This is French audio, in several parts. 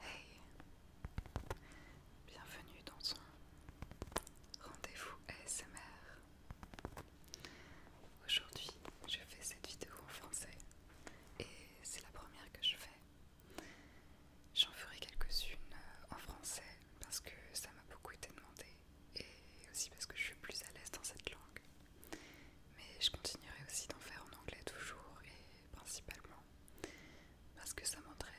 Hey Bienvenue dans son rendez-vous ASMR. Aujourd'hui, je fais cette vidéo en français et c'est la première que je fais. J'en ferai quelques-unes euh, en français parce que ça m'a beaucoup été demandé et aussi parce que je suis plus à l'aise dans cette langue. Mais je continuerai aussi d'en faire en anglais toujours et principalement parce que ça m'entraîne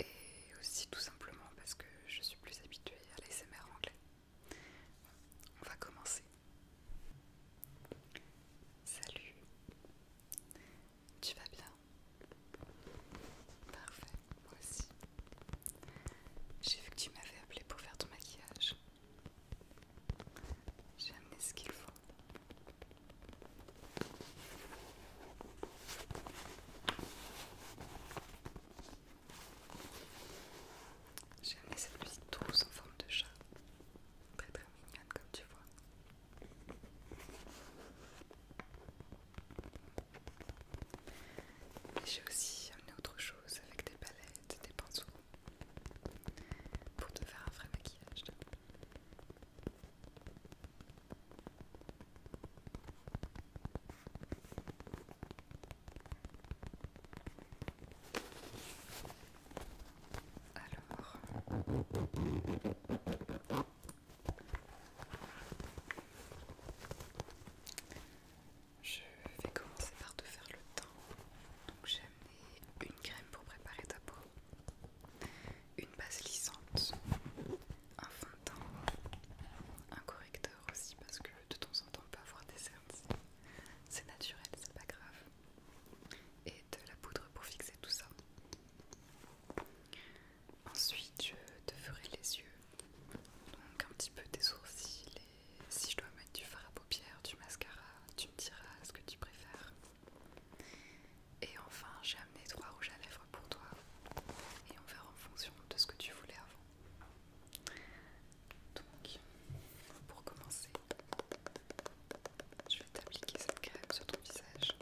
et aussi tout simplement parce que je suis plus habituée à l'ASMR anglais. on va commencer. Salut, tu vas bien Parfait, moi aussi. J'ai vu que tu m'avais appelé pour faire ton maquillage. J'ai amené ce qu'il faut. J'ai amené cette petite trousse en forme de chat. Très très mignonne comme tu vois. Et j'ai aussi amené autre chose avec des palettes, des pinceaux pour te faire un vrai maquillage. Alors, je vais commencer par te faire le teint. Donc j'ai amené une crème pour préparer ta peau une base lissante, un fond de teint, un correcteur aussi parce que de temps en temps on peut avoir des cernes, c'est naturel, c'est pas grave, et de la poudre pour fixer tout ça. Ensuite, je te ferai les yeux, donc un petit peu des sourcils et si je dois mettre du fard à paupières, du mascara, tu me diras ce que tu préfères. Et enfin, j'ai amené trois rouges à lèvres pour toi. Et on verra en fonction de ce que tu voulais avant. Donc, pour commencer, je vais t'appliquer cette crème sur ton visage.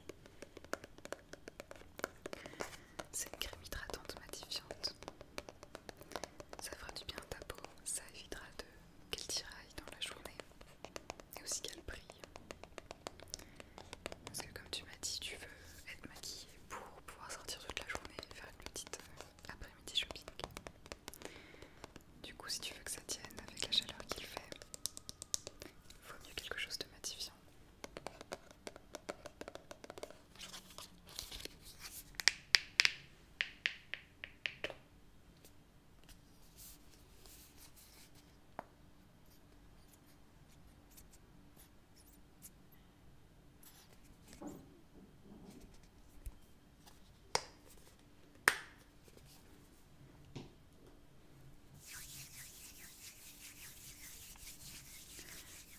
C'est une crème hydratante matifiante. Ça fera du bien à ta peau, ça évitera de qu'elle tiraille dans la journée et aussi quel prix, Parce que comme tu m'as dit, tu veux être maquillée pour pouvoir sortir toute la journée et faire une petite euh, après-midi shopping. Du coup, si tu veux que ça tienne avec la chaleur qu'il fait, il vaut mieux quelque chose de matifiant. Je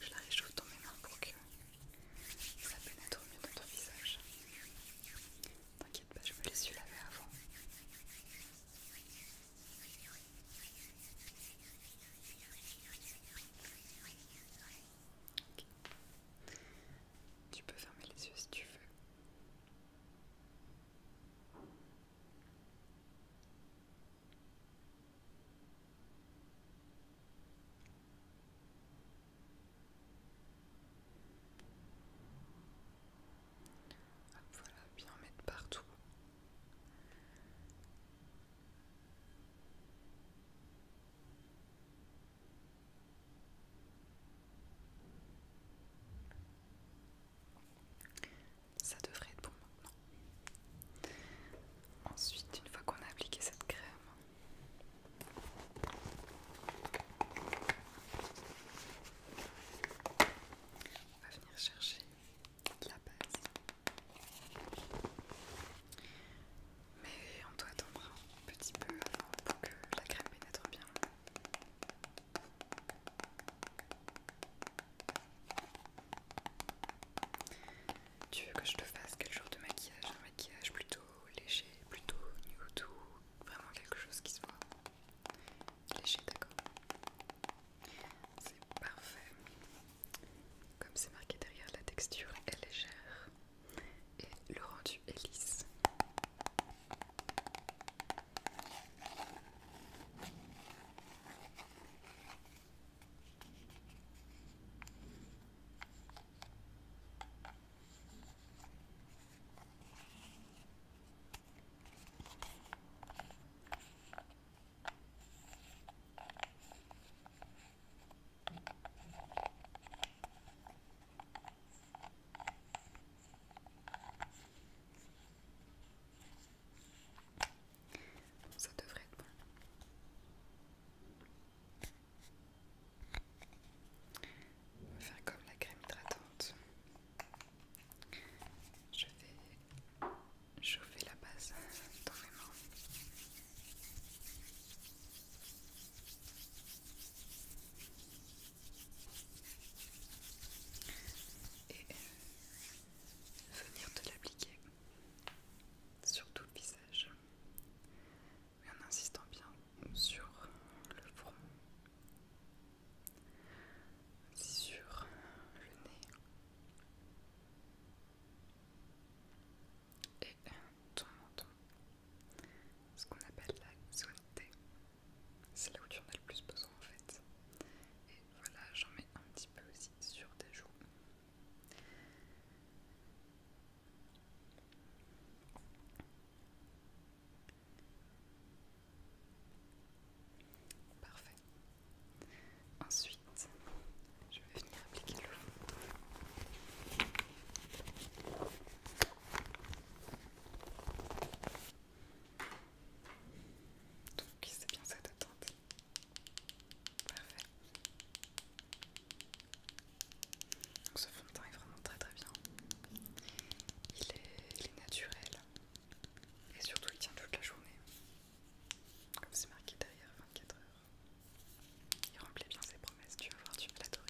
la réchauffe dans mes mains pour que ça pénètre mieux dans ton visage. T'inquiète pas, je me les suis laver avant. Tu peux fermer les yeux si tu veux voilà, bien mettre partout. Ça devrait être bon maintenant. Ensuite, une fois qu'on a appliqué cette crème, on va venir chercher la base. Mais on doit attendre un petit peu avant pour que la crème pénètre bien. Tu veux que je te fasse quel genre de maquillage Un maquillage plutôt léger, plutôt new vraiment quelque chose qui soit léger, d'accord C'est parfait. Comme c'est marqué derrière, la texture est légère et le rendu est lisse. Ça devrait être bon. On va faire comme la crème hydratante. Je vais chauffer la base dans mains. Et euh, venir de l'appliquer sur tout le visage, en insistant bien sur le front, sur le nez et ton menton, ce qu'on appelle la zone T. C'est là où tu en as le plus besoin en fait. Et voilà, j'en mets un petit peu aussi sur tes joues. Parfait. Ensuite, je vais venir appliquer le fond. Donc c'est bien cette attente. Parfait. Donc ce fond de teint est vraiment très très bien. Il est, naturel et surtout il tient toute la journée. Comme c'est marqué derrière 24 heures. Il remplit bien ses promesses, tu vas voir, tu vas l'adorer.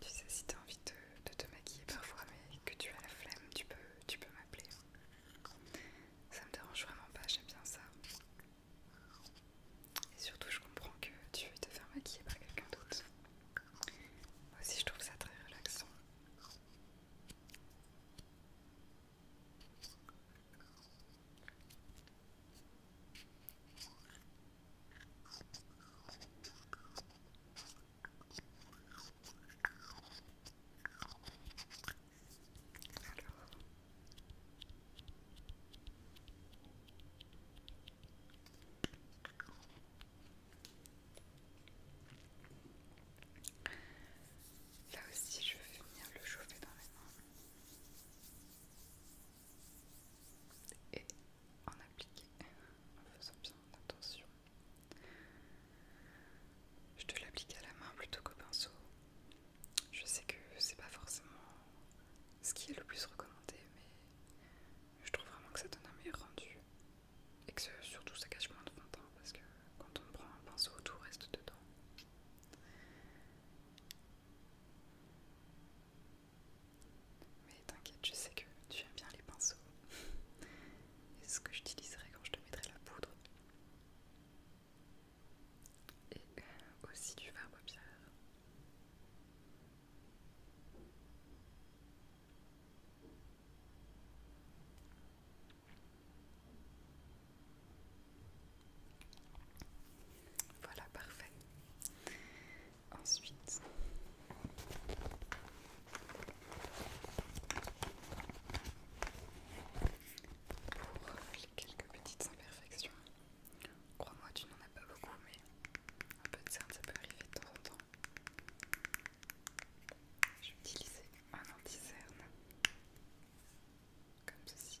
Tu sais, si t'as envie de, te maquiller parfois, mais que tu as la flemme, tu peux, tu peux m'appeler. Ça me dérange vraiment pas, j'aime bien ça. Et surtout, je comprends que tu veux te faire maquiller par quelqu'un d'autre. Moi aussi, je trouve ça très relaxant. Là aussi, je vais venir le chauffer dans les mains et en appliquer en faisant bien attention. Je te l'applique à la main plutôt qu'au pinceau. Je sais que c'est pas forcément ce qui est le plus recommandé, mais je trouve vraiment que ça donne un meilleur rendu et que surtout ça cache moins de fond hein, parce que quand on prend un pinceau, tout reste dedans. Mais t'inquiète, je sais que tu aimes bien les pinceaux. Et c'est ce que j'utiliserai quand je te mettrai la poudre. Et euh, aussi du fard paupière. Voilà, parfait. Ensuite, pour les quelques petites imperfections, crois-moi, tu n'en as pas beaucoup, mais un peu de cerne, ça peut arriver de temps en temps. Je vais utiliser un anti-cerne, comme ceci.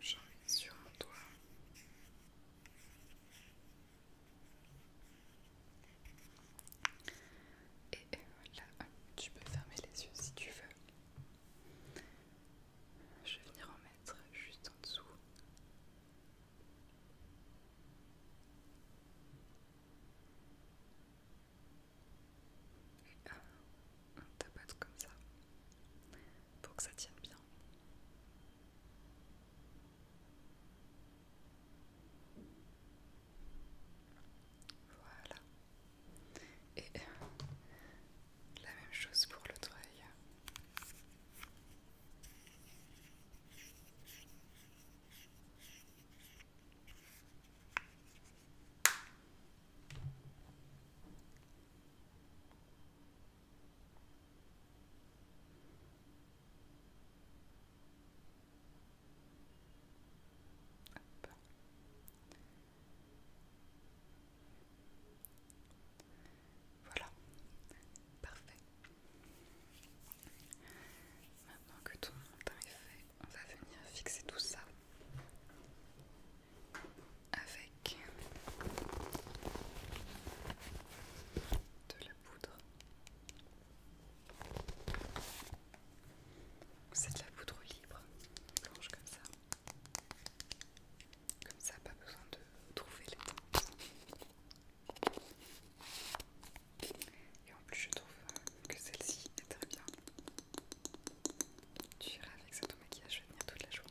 J'en mets sur mon doigt. Et voilà, tu peux fermer les yeux si tu veux. Je vais venir en mettre juste en dessous. Et on tapote comme ça pour que ça tienne bien. Voilà. Et la même chose pour le doigt. Voilà, parfait. Maintenant que tout montant est fait, on va venir fixer tout ça avec de la poudre. C'est de la poudre libre, blanche comme ça. Comme ça, pas besoin de trouver les teintes. Et en plus, je trouve que celle-ci est très bien. Tu iras avec ça ton maquillage venir toute la journée.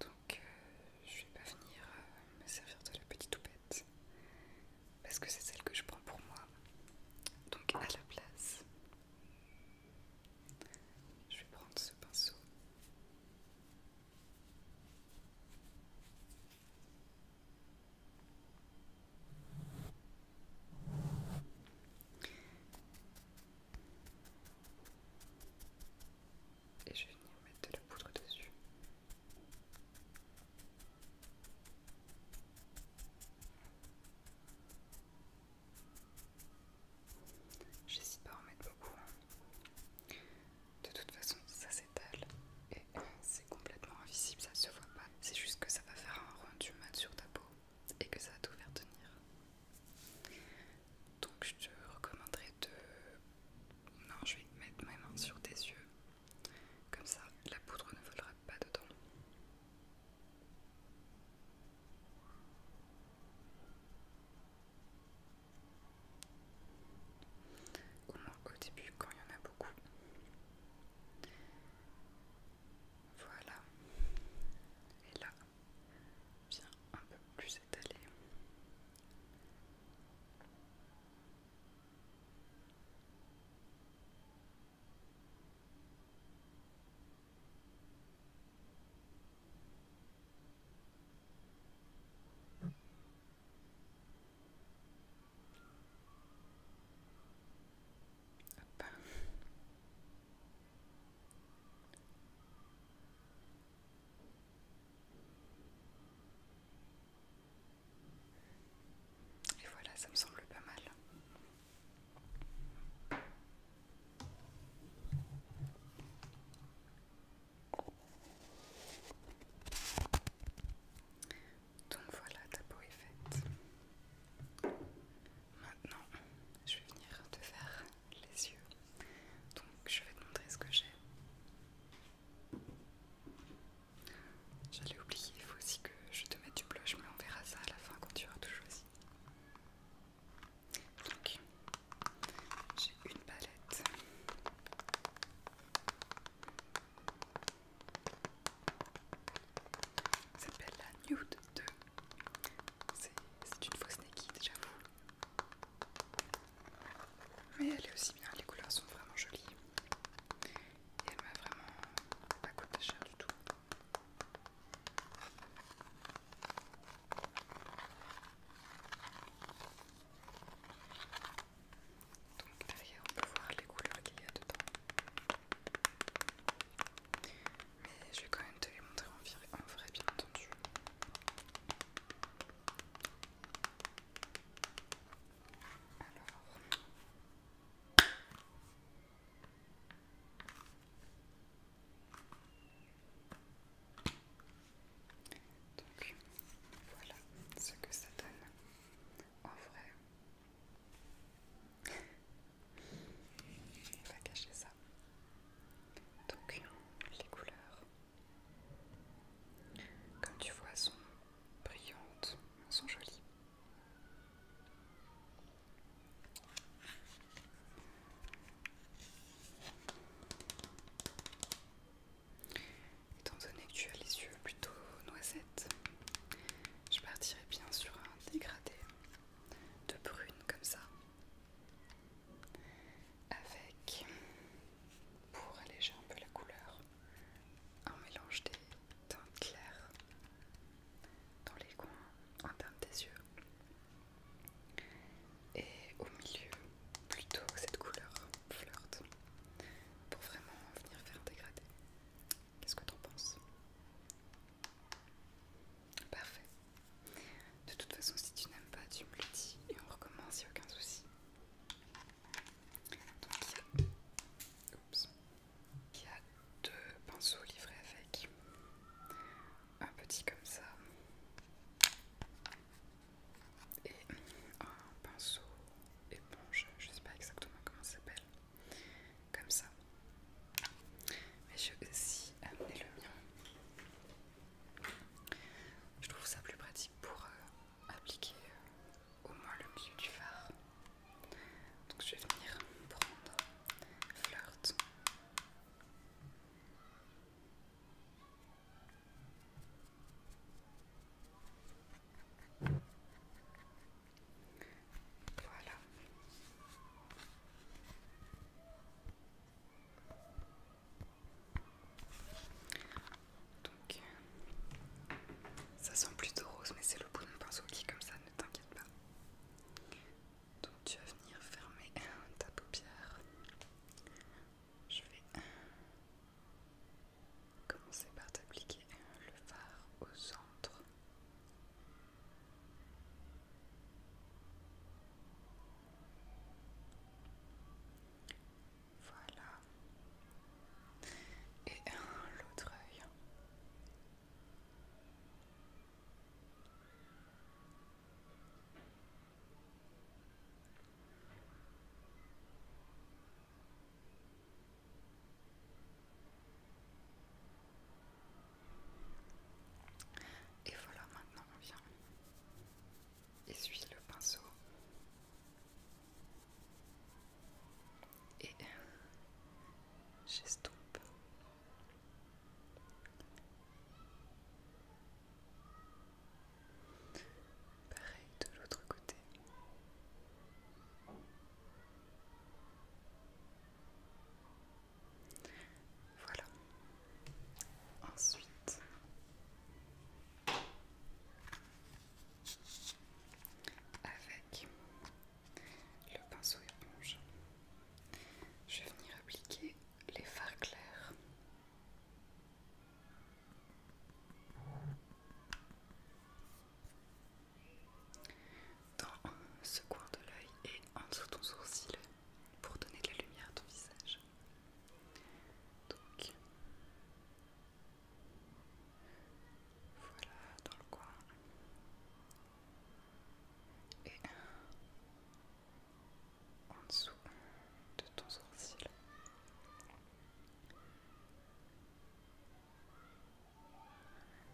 Donc, euh, je vais pas venir euh, me servir de la petite toupette parce que c'est celle que je prends pour moi. Donc, à la place, je vais prendre ce pinceau. Et je vais venir mettre de la poudre dessus. J'hésite pas à en mettre beaucoup. Hein. De toute façon, ça s'étale et c'est complètement invisible, ça se voit pas. C'est juste que ça va faire un rendu mat sur ta peau et que ça va tout faire tenir. Donc je te recommanderais de... Non, je vais mettre ma main sur tes yeux. Comme ça, la poudre ne volera pas dedans. Au moins au début quand il y en a beaucoup. Voilà. Et là, bien un peu plus étalé. Et voilà, ça me semble pas mal. Donc voilà, ta peau est faite. Maintenant, je vais venir te faire les yeux. Donc je vais te montrer ce que j'ai. J'allais oublier, il faut aussi que je te mette du blush, mais on verra ça à la fin quand tu auras tout choisi. Donc, j'ai une palette. Ça s'appelle la Nude 2. C'est une fausse naked, j'avoue. Mais elle est aussi bien, les couleurs sont vraiment jolies. Et elle m'a vraiment pas coûté cher du tout. Donc derrière on peut voir les couleurs qu'il y a dedans. Mais je vais quand même te les montrer en, vrai bien entendu. Alors... Donc voilà ce que ça donne en vrai. On va cacher ça. Donc les couleurs, comme tu vois, sont brillantes, sont jolies. Étant donné que tu as les yeux plutôt noisettes, je partirai bien sur un dégradé de brune comme ça, avec, pour alléger un peu la couleur, un mélange des teintes claires dans les coins en des yeux et au milieu plutôt cette couleur flirte, pour vraiment venir faire dégrader. Qu'est-ce que tu en penses Parfait. De toute façon, si tu n'aimes pas, tu me le dis et on recommence, il n'y a aucun souci. Donc, il y a deux pinceaux livrés avec un petit comme ça et un pinceau éponge, je sais pas exactement comment ça s'appelle, comme ça. Mais je vais aussi amener le mien. Je trouve ça plus pratique pour euh, appliquer euh, au moins le milieu du phare. Donc je vais venir prendre flirt voilà. Donc, ça sent plutôt rose, mais c'est le bout de pinceau qui, comme ça, ne t'inquiète pas. Donc tu vas venir fermer ta paupière. Je vais euh, commencer par t'appliquer le phare au centre. Voilà. Et euh, l'autre œil. Et voilà, maintenant on vient essuyer le pinceau. Et j'estompe Pareil de l'autre côté. Voilà. Ensuite, avec le pinceau éponge, je vais venir appliquer les fards clairs. Dans ce coin de l'œil et en dessous de ton sourcil pour donner de la lumière à ton visage. Donc voilà dans le coin et en dessous de ton sourcil.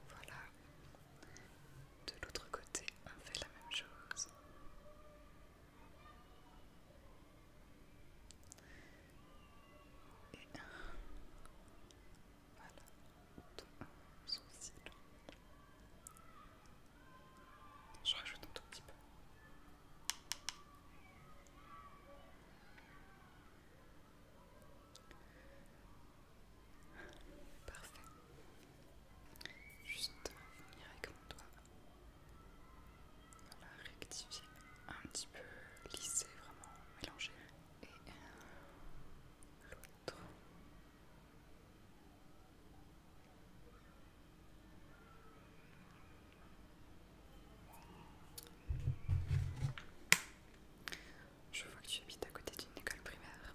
Voilà. De l'autre côté, on fait la même chose. Et voilà sourcil. Je rajoute un tout petit peu. Parfait. Juste venir avec mon doigt. Voilà, rectifier un petit peu, lisser, vraiment mélanger. Et l'autre. Je vois que tu habites à côté d'une école primaire.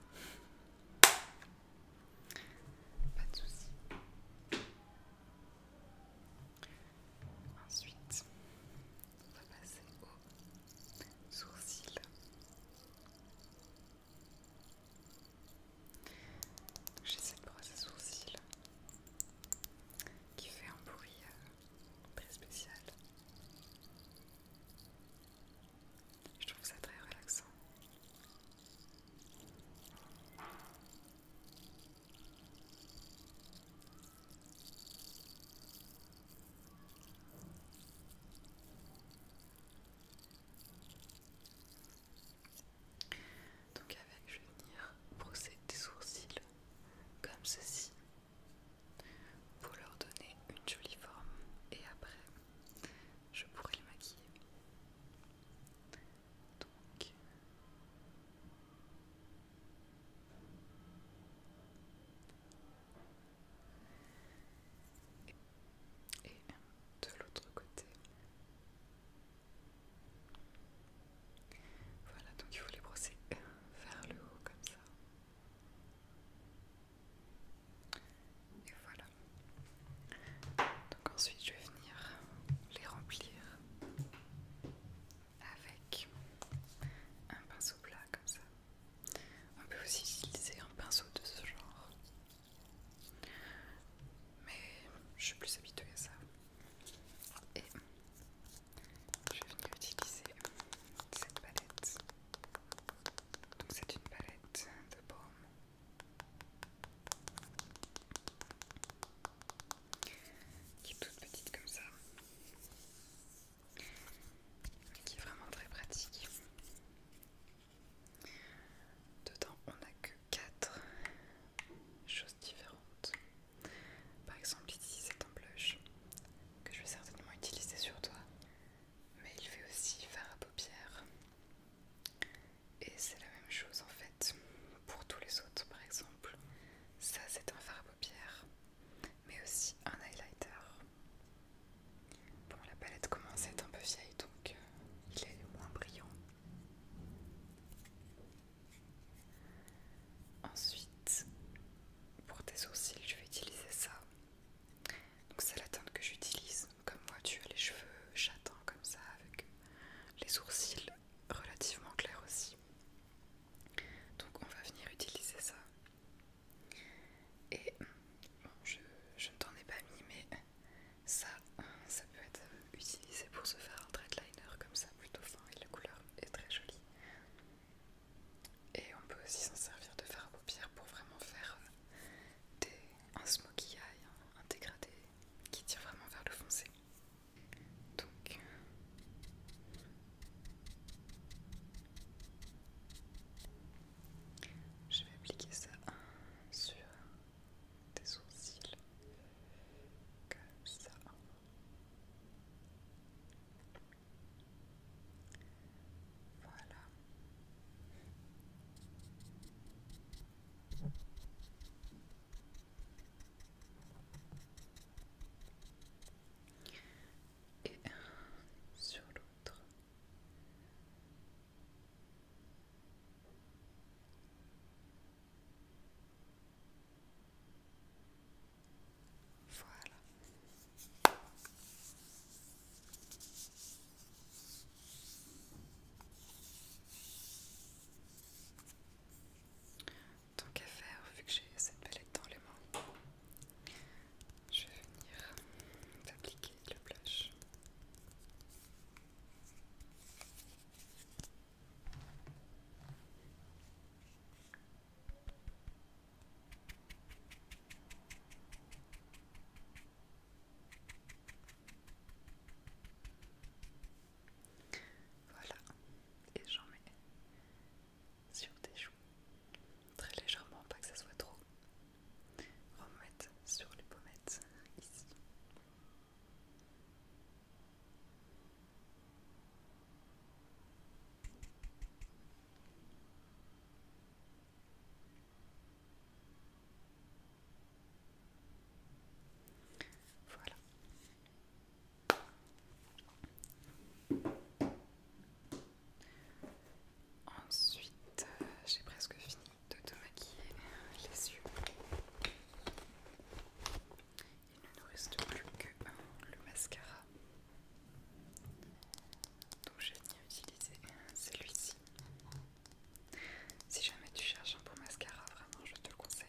Pas de soucis. Ensuite, on va passer aux sourcils. J'ai cette brosse à sourcils qui fait un bruit euh, très spécial. Je trouve ça très relaxant. Donc avec, je vais venir brosser des sourcils comme ceci pour leur donner une jolie forme et après je pourrai les maquiller. Donc et de l'autre côté. Voilà, donc il faut les brosser vers le haut comme ça. Et voilà. Donc ensuite je vais venir les remplir avec un pinceau plat comme ça. On peut aussi utiliser un pinceau de ce genre mais je suis plus habituée à ça. Et je vais venir utiliser cette palette. Donc c'est une palette de baume. Qui est toute petite comme ça. Et qui est vraiment très pratique. Dedans, on n'a que quatre choses différentes. Par exemple, ici, c'est un blush que je vais certainement utiliser sur toi, mais il fait aussi fard à paupières. Et c'est la même chose en fait pour tous les autres, par exemple. Ça, c'est un fard à paupières, mais aussi un highlighter. Bon, la palette commence à être un peu vieille, donc euh, il est moins brillant. Ensuite, pour tes sourcils, je vais utiliser ça. Donc c'est la teinte que j'utilise. Comme moi, tu as les cheveux châtains comme ça, avec les sourcils relativement clairs aussi. Donc on va venir utiliser ça. Et je, ne t'en ai pas mis, mais ça, ça peut être utilisé pour se faire un threadliner comme ça, plutôt fin, et la couleur est très jolie. Et on peut aussi s'en servir de fard à paupières pour vraiment faire un smoky eye, un dégradé qui tire vraiment vers le foncé. Donc, je vais appliquer ça sur tes sourcils, comme ça. Voilà. Et sur l'autre, voilà. Donc à faire, vu que j'ai cette palette dans les mains, je vais venir appliquer le blush. Voilà, et j'en mets sur tes joues, très légèrement, pas que ça soit trop remettre sur les pommettes ici. Voilà. Ensuite, euh, j'ai presque fini de te maquiller les yeux. Il ne nous reste plus que euh, le mascara. Donc je à utiliser euh, celui-ci. Si jamais tu cherches un bon mascara, vraiment je te le conseille.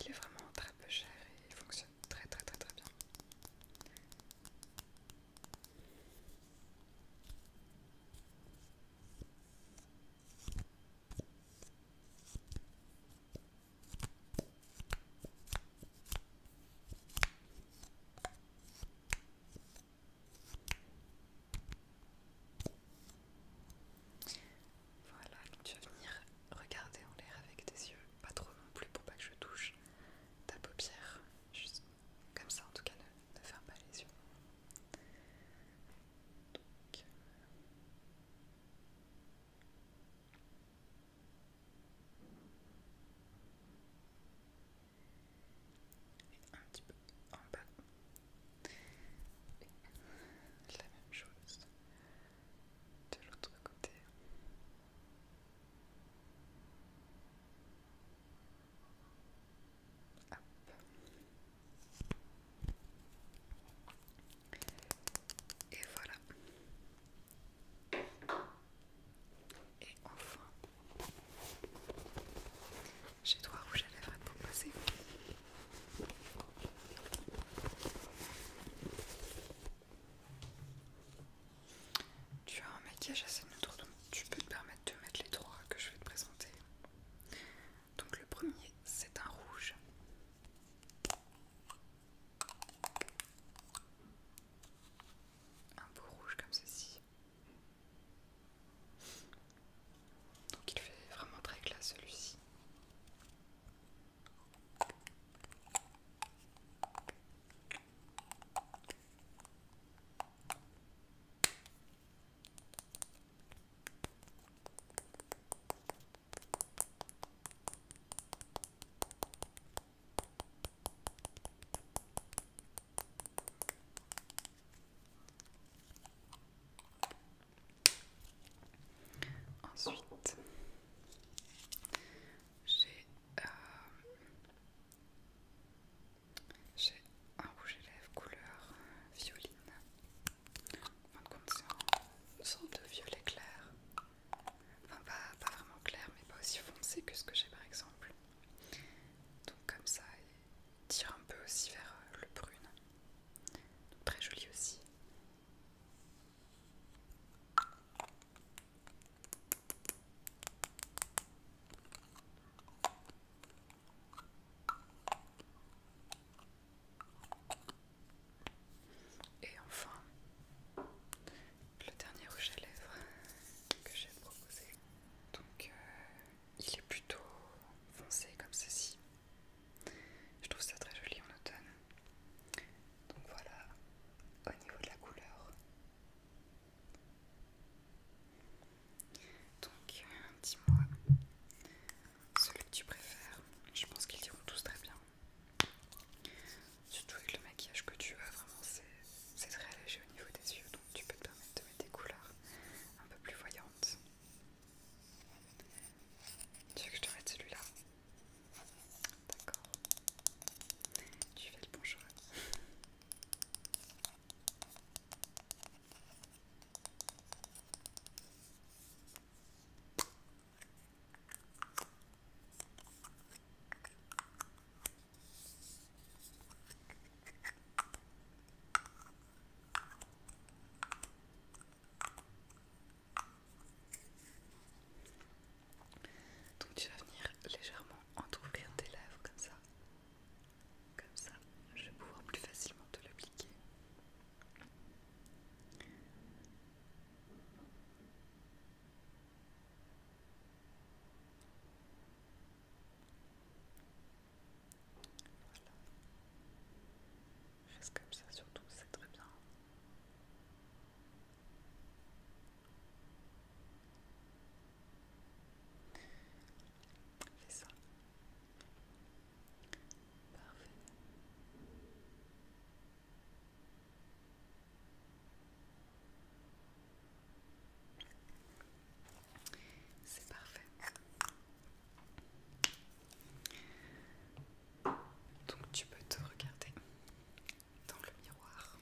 Il est vraiment très peu cher et il fonctionne très très très très bien. Voilà, tu vas venir regarder en l'air avec tes yeux, pas trop non plus pour pas que je touche ta paupière, comme ça en tout cas ne, ne ferme pas les yeux un petit peu en bas la même chose de l'autre côté et voilà. Et enfin, j'ai trois rouge à lèvres à tu as un maquillage assez neutre, donc tu peux te permettre de mettre les trois que je vais te présenter. Donc le premier, c'est un rouge. Un beau rouge comme ceci. Donc il fait vraiment très classe celui-ci. Ensuite, j'ai euh, j'ai un rouge à lèvres couleur violine. En de c'est de violet clair. Enfin, pas, vraiment clair, mais pas aussi foncé que ce que j'ai par exemple. Donc, comme ça, il tire un peu aussi vers euh, le prune. très joli aussi. Et enfin, le dernier rouge à lèvres que j'ai proposé. Donc, euh, il est plutôt foncé comme ceci. Je trouve ça très joli en automne. Donc voilà, au niveau de la couleur, donc, euh, dis-moi celui que tu préfères. Je pense qu'ils iront tous très bien. Surtout avec le maquillage que tu as, vraiment c'est très allégé au niveau des yeux, donc tu peux te permettre de mettre des couleurs un peu plus voyantes. Tu veux que je te mette celui-là D'accord. Tu fais le bon choix. Donc tu vas venir légèrement entrouvrir tes lèvres comme ça. Comme ça, je vais pouvoir plus facilement te l'appliquer. Voilà. Juste comme ça surtout, c'est très bien. C'est ça. Parfait. C'est parfait. Donc tu peux te regarder dans le miroir.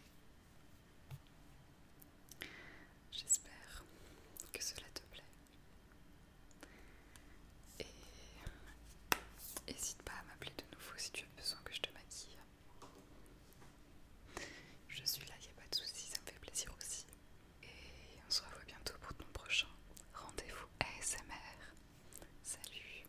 J'espère que cela te plaît. Et n'hésite pas à m'appeler de nouveau si tu as besoin que je te maquille. Je suis là, il n'y a pas de soucis ça me fait plaisir aussi. Et on se revoit bientôt pour ton prochain rendez-vous ASMR. Salut